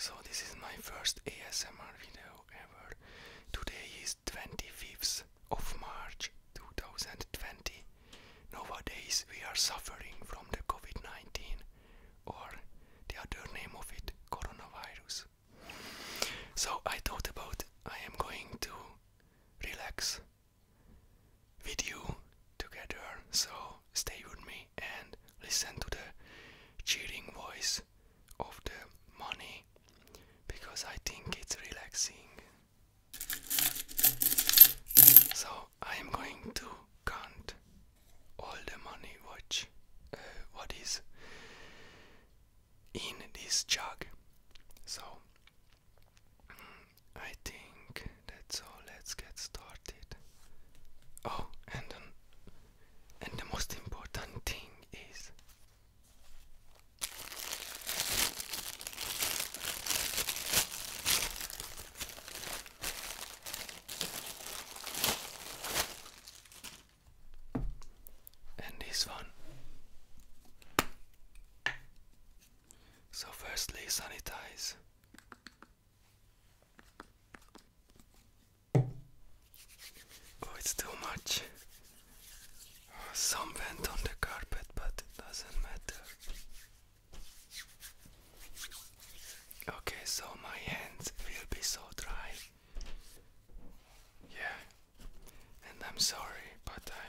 So this is my first ASMR video ever. Today is 25th of March 2020. Nowadays we are suffering from the COVID-19 or the other name of it, coronavirus. So I thought about I am going to relax with you together. So stay with me and listen to the cheering voice of the money because I think it's relaxing. So I am going to count all the money Watch uh, what is in this jug. So mm, I think that's all. Let's get started. Oh, and and the most important thing is and this one. So, firstly, sanitize. Oh, it's too much. Oh, some went on the carpet, but it doesn't matter. Okay, so my hands will be so dry. Yeah, and I'm sorry, but I.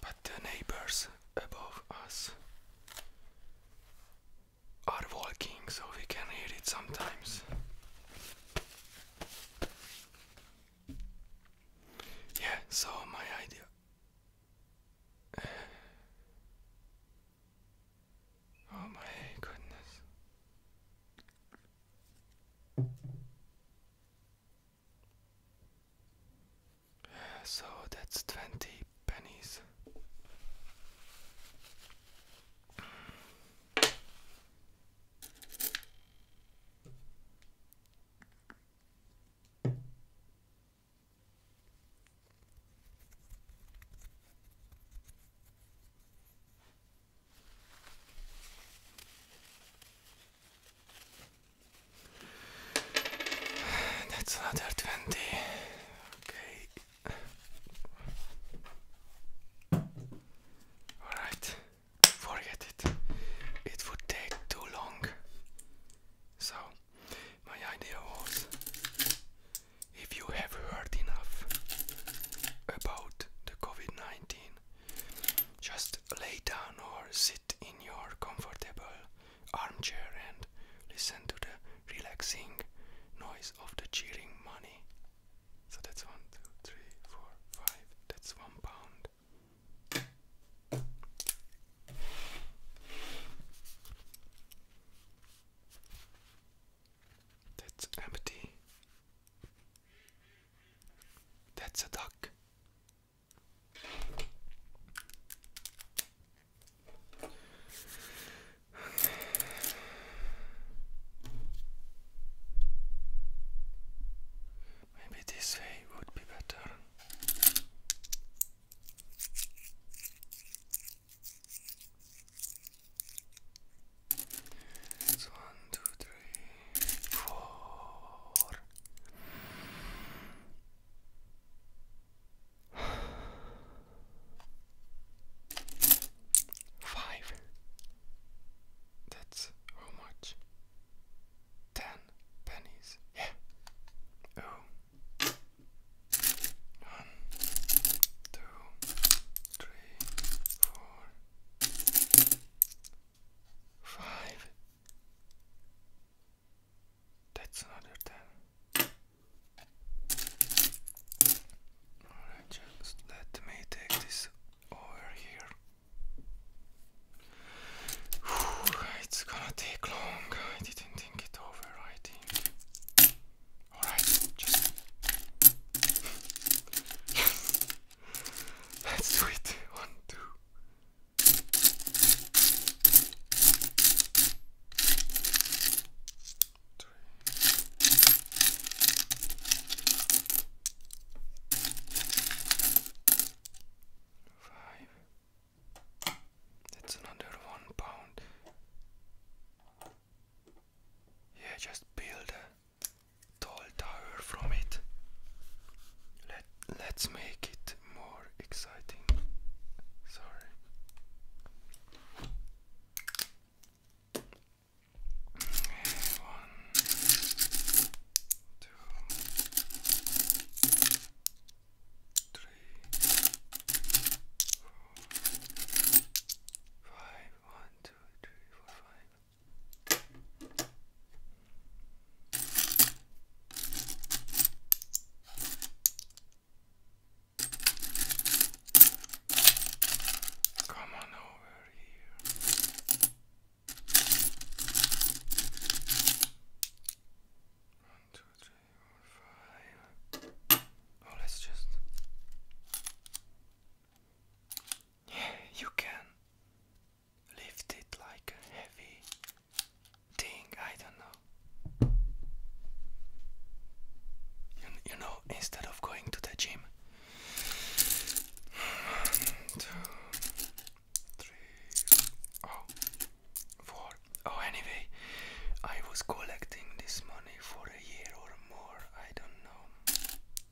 But the neighbors above us are walking, so we can hear it sometimes. Yeah, so my idea. Oh my goodness. So that's 20 pennies. That's another 20. Okay. Alright, forget it. It would take too long. So, my idea was if you have heard enough about the COVID 19, just lay down or sit in your comfortable armchair and listen to the relaxing noise of the cheering money. So that's one, two, three, four, five. That's one pound. That's empty. That's a duck. Maybe this way would be better. It's one, two, That's how much? Ten pennies. Yeah. Oh. One, two, three, four four, five. That's another ten. Alright, just let me take this over here. it's gonna take long. I didn't think it over, I think. Alright, just. yes! Let's do it. One, two. Three. one pound. Yeah, just build tall tower from it. Let, us make it more exciting. Sorry. One, two, three, four, five. One, two, three, four, five. Come on over here. One, two, three, four, five. Oh, let's just you can lift it like a heavy thing, I don't know. You, you know, instead of going to the gym. One, two, three, oh, four. Oh, anyway, I was collecting this money for a year or more, I don't know.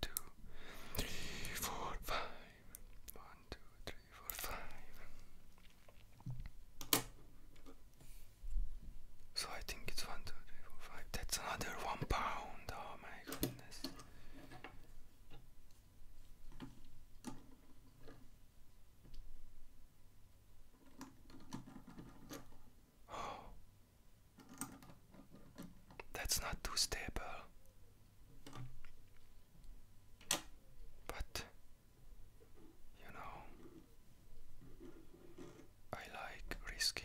two, three, four, five. One, two, three, four, five. So I think it's one, two, three, four, five. That's another one pound. Oh my goodness. Oh. That's not too stable. But you know, I like risking.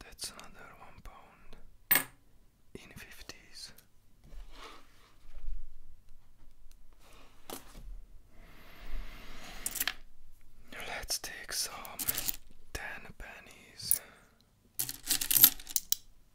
That's another one pound in fifties. Let's take some ten pennies.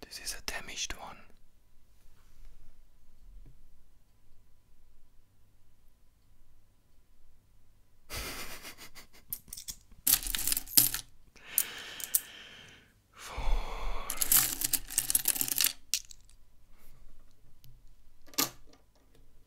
This is a damaged one. Four.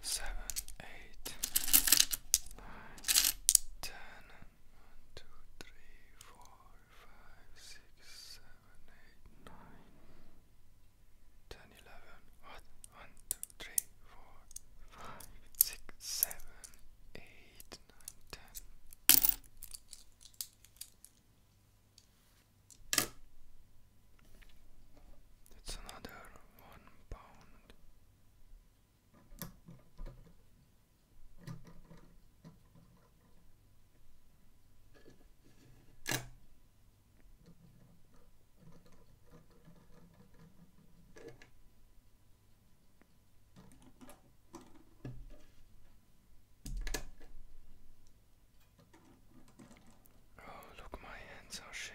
seven, eight, nine, ten, one, two, three, four, five, six, seven, eight, nine, ten, eleven, what? One, two, three, four, five, six, seven, eight, nine, ten. That's another one pound. Oh, look, my hands are shaking.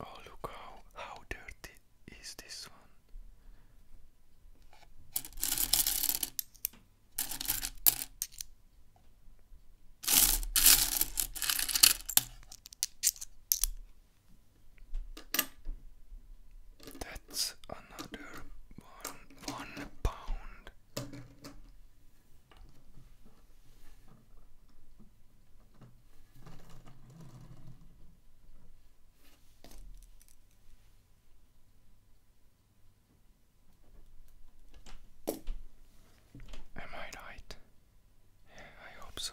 Oh, look how how dirty is this one. That's another one one pound. Am I right? I hope so.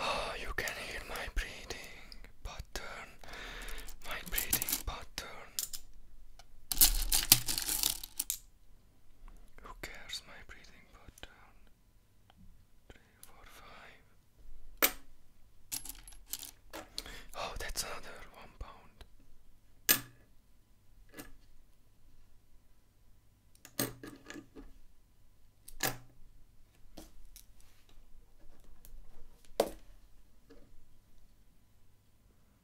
Oh, you can hear my breathing pattern, my breathing pattern. Who cares? My breathing put down. Three, four, five. Oh, that's another one pound.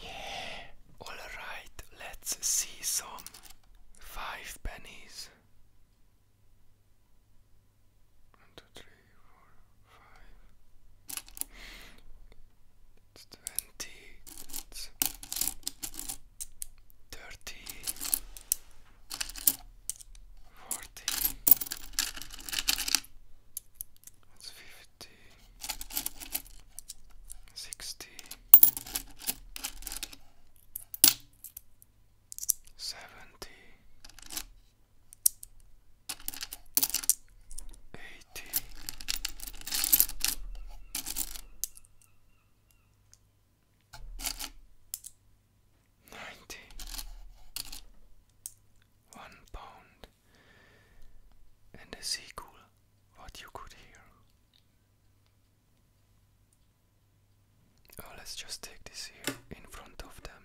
Yeah, alright, let's see some five pennies. One, two, three, four, five. twenty. thirty forty. That's fifty. Sixty. Seventy. Eighty ninety one pound and is equal what you could hear. Oh, let's just take this here in front of them.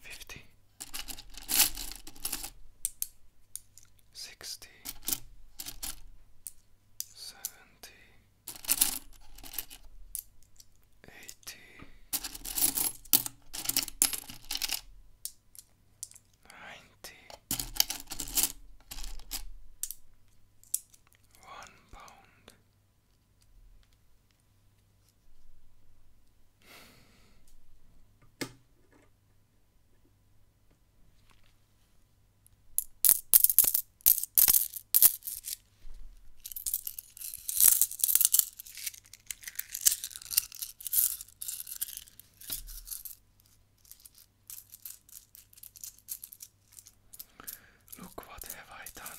fifty, sixty, seventy, eighty, ninety, one pound. Look what have I done.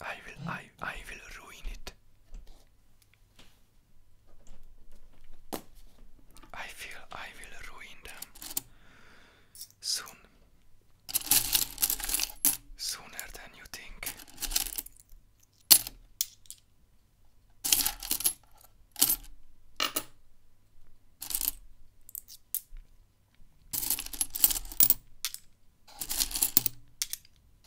I will I I will ruin it. I feel I will ruin them soon. Sooner than you think.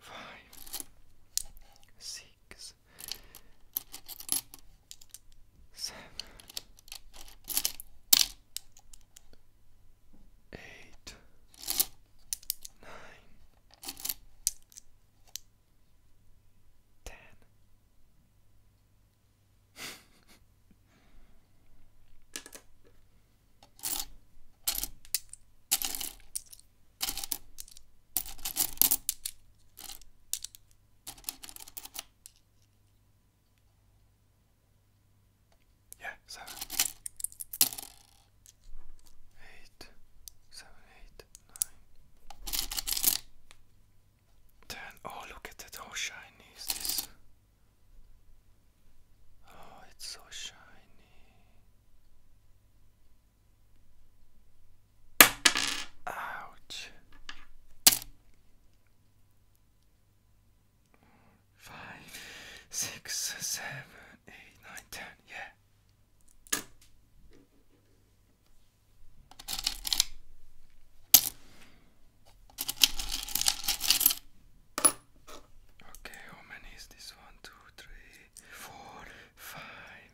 Five, six, six, seven, eight, nine, ten. Yeah, seven, eight, seven, eight, nine, ten. Oh, look at that! How shiny Oh, it's so shiny. Ouch. Five, six, seven, eight, nine, ten. Yeah. Okay, how many is this? One, two, three, four, five,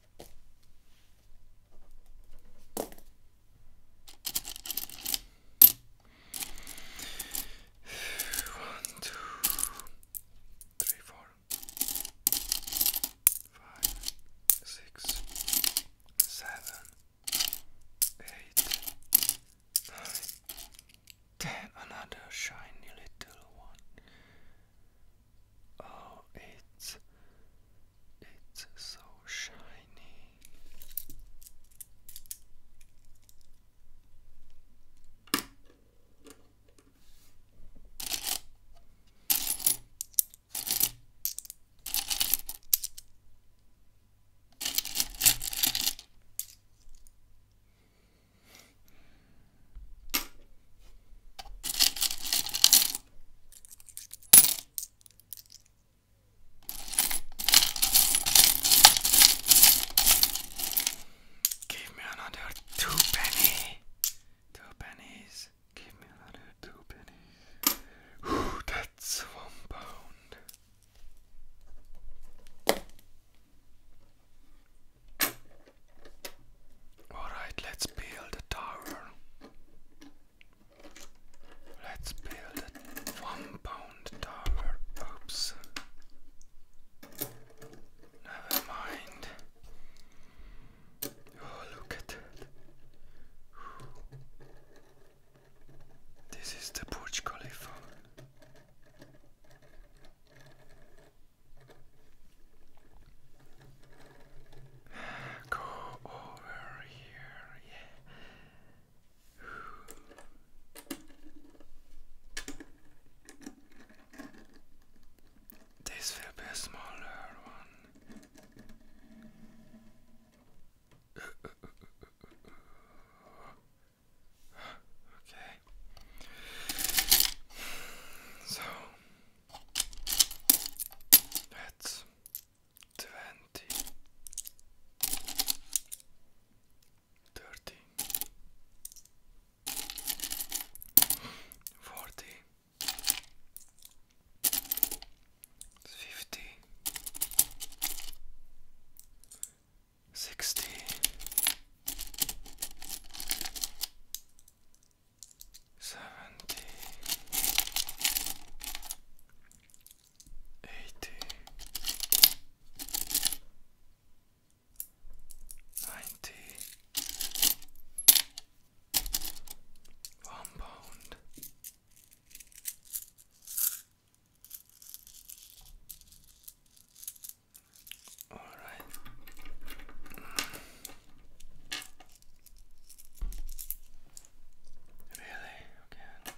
One, two, three, four, five, six, seven, eight, nine, ten. Another shiny little one. Oh, it's it's so shiny. Give me another two penny. Two pennies. Give me another two pennies. Ooh, that's one pound. Alright, let's build a tower. Let's build a one pound tower. Oops. Never mind. Oh, look at that. This is the Burj phone. Go over here, yeah. This will be a smaller one. Okay. So let's twenty, thirty, forty, fifty, sixty seventy, eighty, ninety, one pound. All right. Really? Again?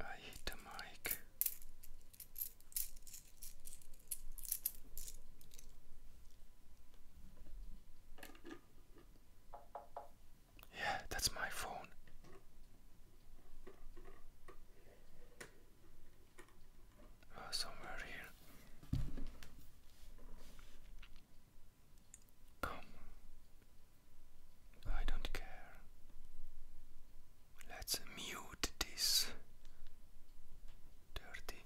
I hit the mic. Yeah, that's my phone. Oh, somewhere here. Come, I don't care. Let's mute this. Dirty.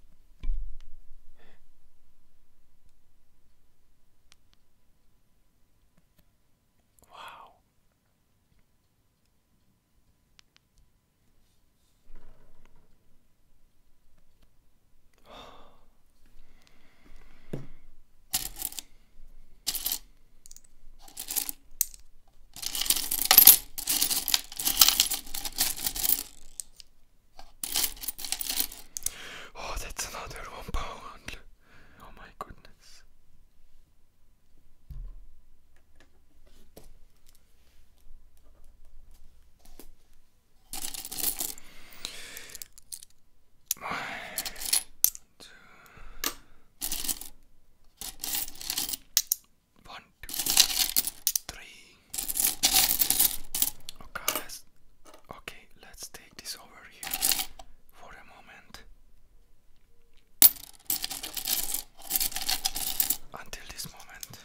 Wow. Oh, that's another one pound. Oh, my goodness. One, two. One, Okay, let's, okay, let's take this over here for a moment. Until this moment,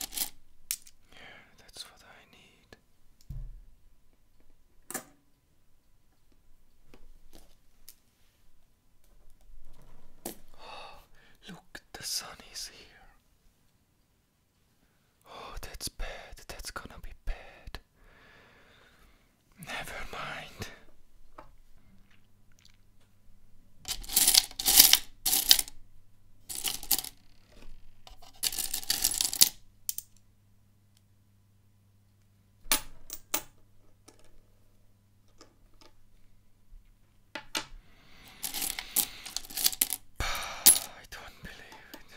Yeah, that's what I need. Oh, look, the sun is here. Oh, that's bad. That's gonna be bad. Never mind. I don't believe it.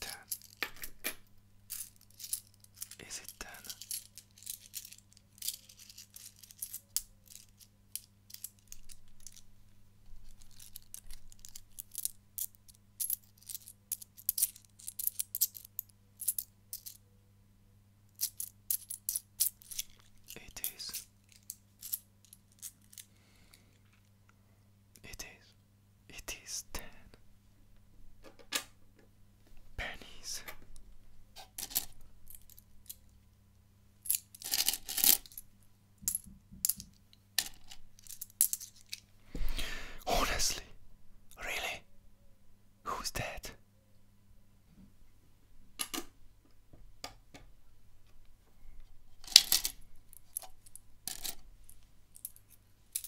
Ten. Is it done? It is. It is. It is ten pennies. Honestly, really? Who's that?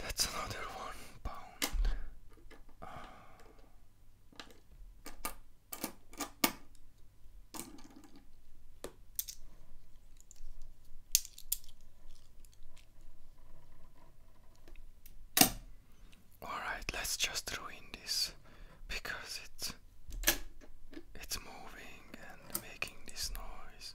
That's another one all right, let's just ruin this because it's it's moving and making this noise.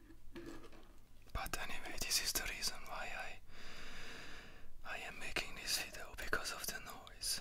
But anyway, this is the reason why I I am making this video because of the noise.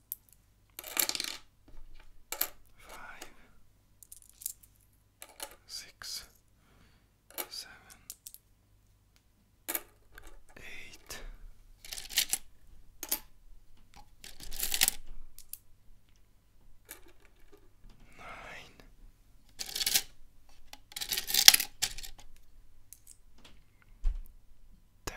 five, six, seven, eight. Nine, ten,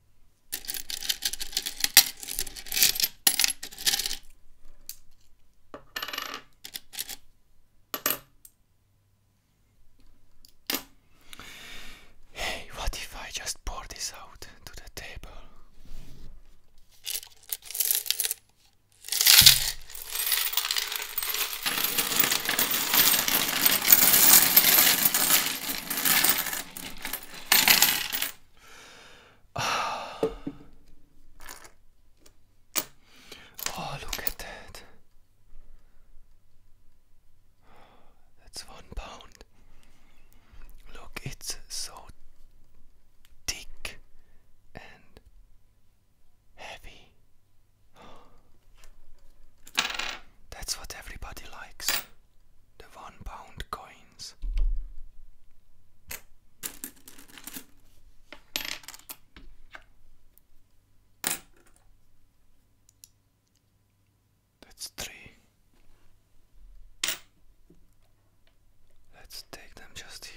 Hey, what if I just pour this out to the table? Oh, look at that. That's one pound. Look, it's so thick and heavy. That's what everybody likes the one pound coins. That's three. Let's take them just here.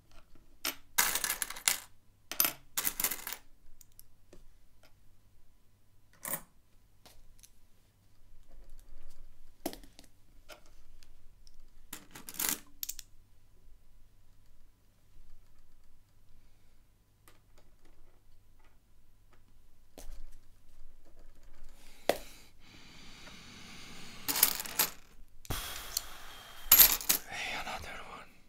Hey, another one.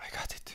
I got it.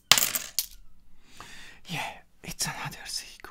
Yeah, it's another sequel.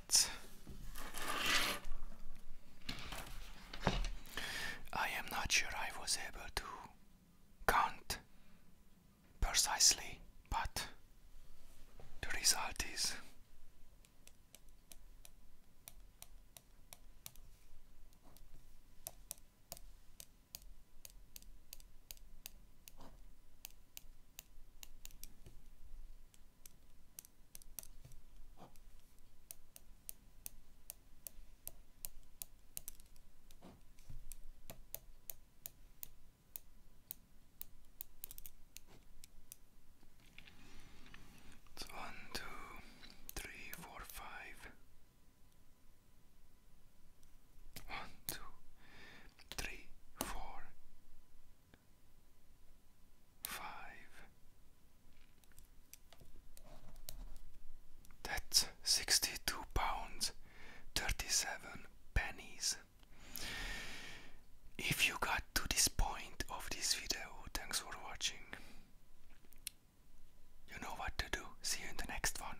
I am not sure I was able to count precisely, but the result is. It's one, two, three, four, five. One, two, three, four, five. That's sixty-two pounds thirty-seven pennies. If you got to this point of this video, thanks for watching. You know what to do. See you in the next one.